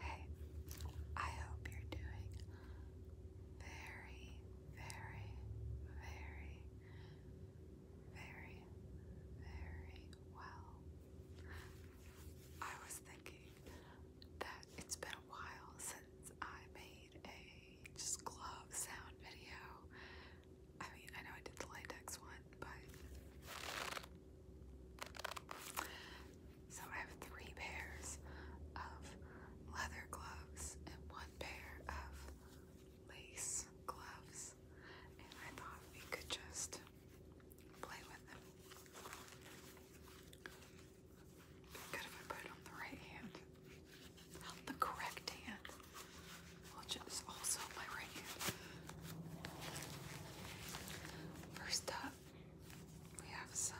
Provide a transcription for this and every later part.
Hey, I hope you're doing very, very, very, very, very well. I was thinking that it's been a while since I made a just glove sound video. I mean, I know I did the latex one, but so I have three pairs of leather gloves and one pair of lace gloves, and I thought we could just play with them. Good if I put it on the right hand, the correct hand, which is also my right hand. First up, we have some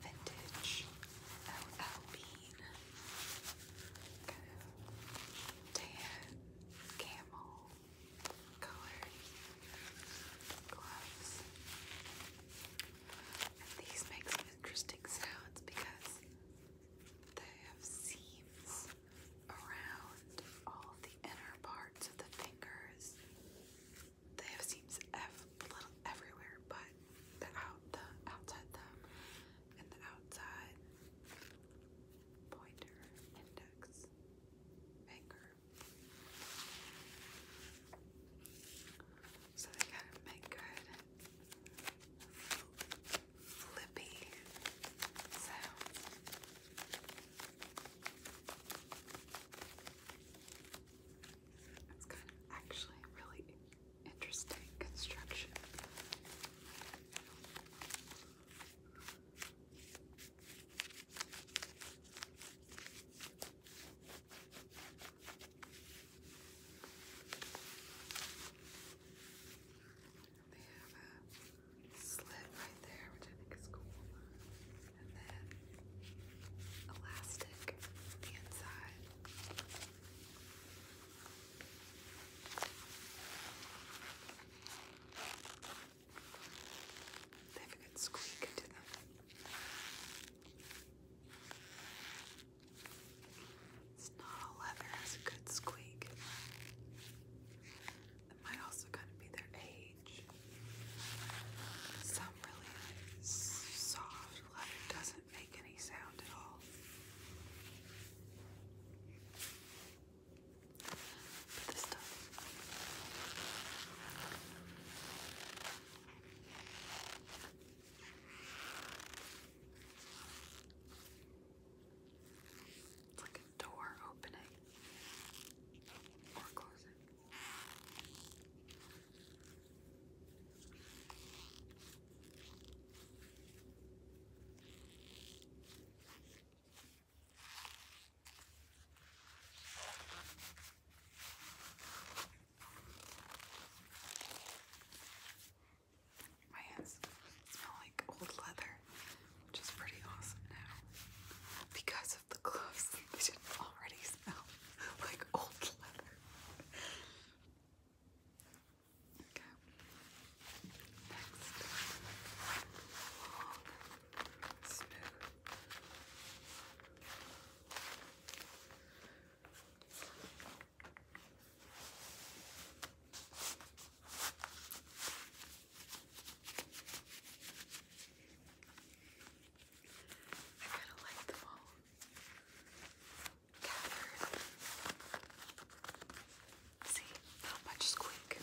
vintage LL Bean, tan, camel colored gloves. these make some interesting sounds because they have seams around all the inner parts of the fingers they have seams everywhere, but the out the outside thumb and the outside pointer index finger. So they kind of make good flippy sounds. It's kind of actually really interesting construction. They have a slit right there, which I think is cool and then elastic the inside. They have a good squeak to them. It's not all leather, has a good squeak. It might also kind of be their age. Some really soft leather doesn't make any sound at all. this does. It's like a door opening or closing. My hands smell like old leather, which is pretty awesome now because the gloves, they already smell like old leather. Okay. Next, I kind of like them all. See, not much squeak.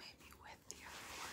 Maybe with the other one.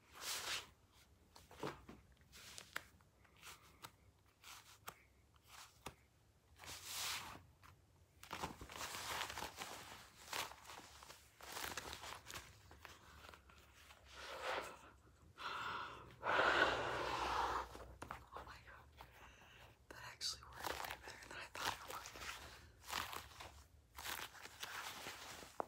Oh my god, that actually worked way better than I thought it would.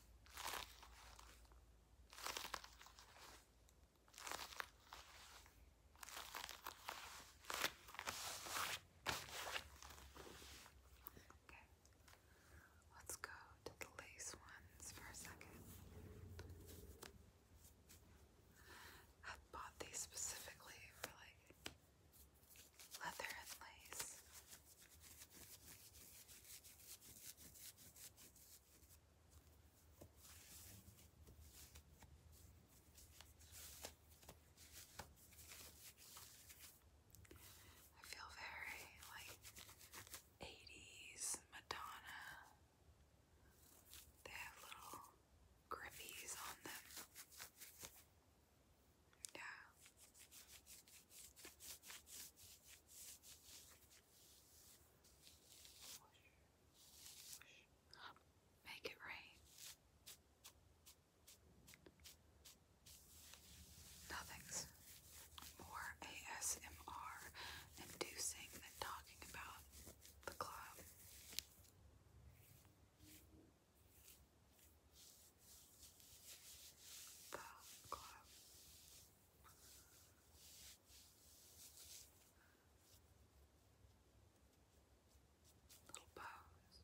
Okay, let's go to the lace ones for a second. I bought these specifically for like leather and lace. I feel very like Madonna. They have little grippies on them. Yeah. Make it rain. Nothing's more ASMR inducing than talking about the club. Bow Club. Little bows.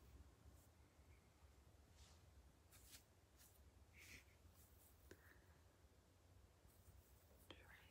Trace. Trace.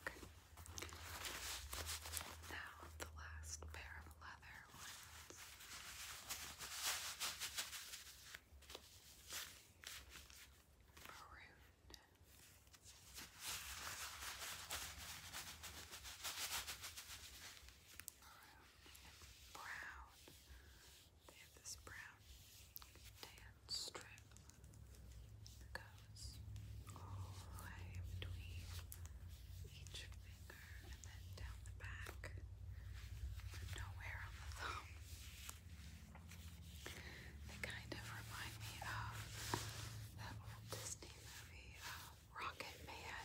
Okay. Now the last pair of leather ones. Maroon. Maroon and brown. They have this brown tan strip that goes all the way between each finger and then down the back, but nowhere on the thumb. They kind of remind me of that old Disney movie, uh, Rocket Man.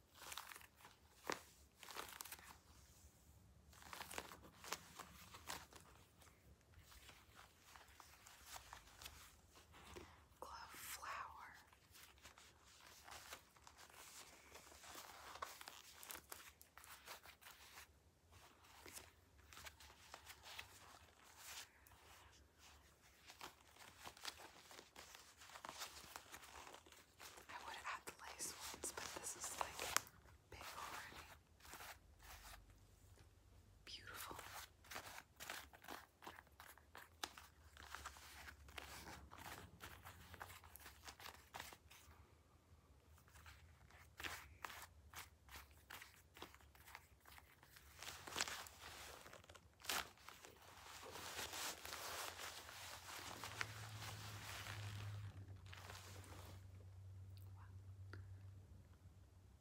Glove flower. I would add the lace ones, but this is like big already. Beautiful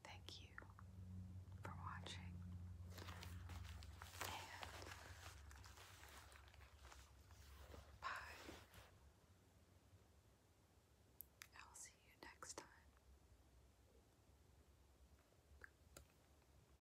thank you for watching. And bye. I'll see you next time.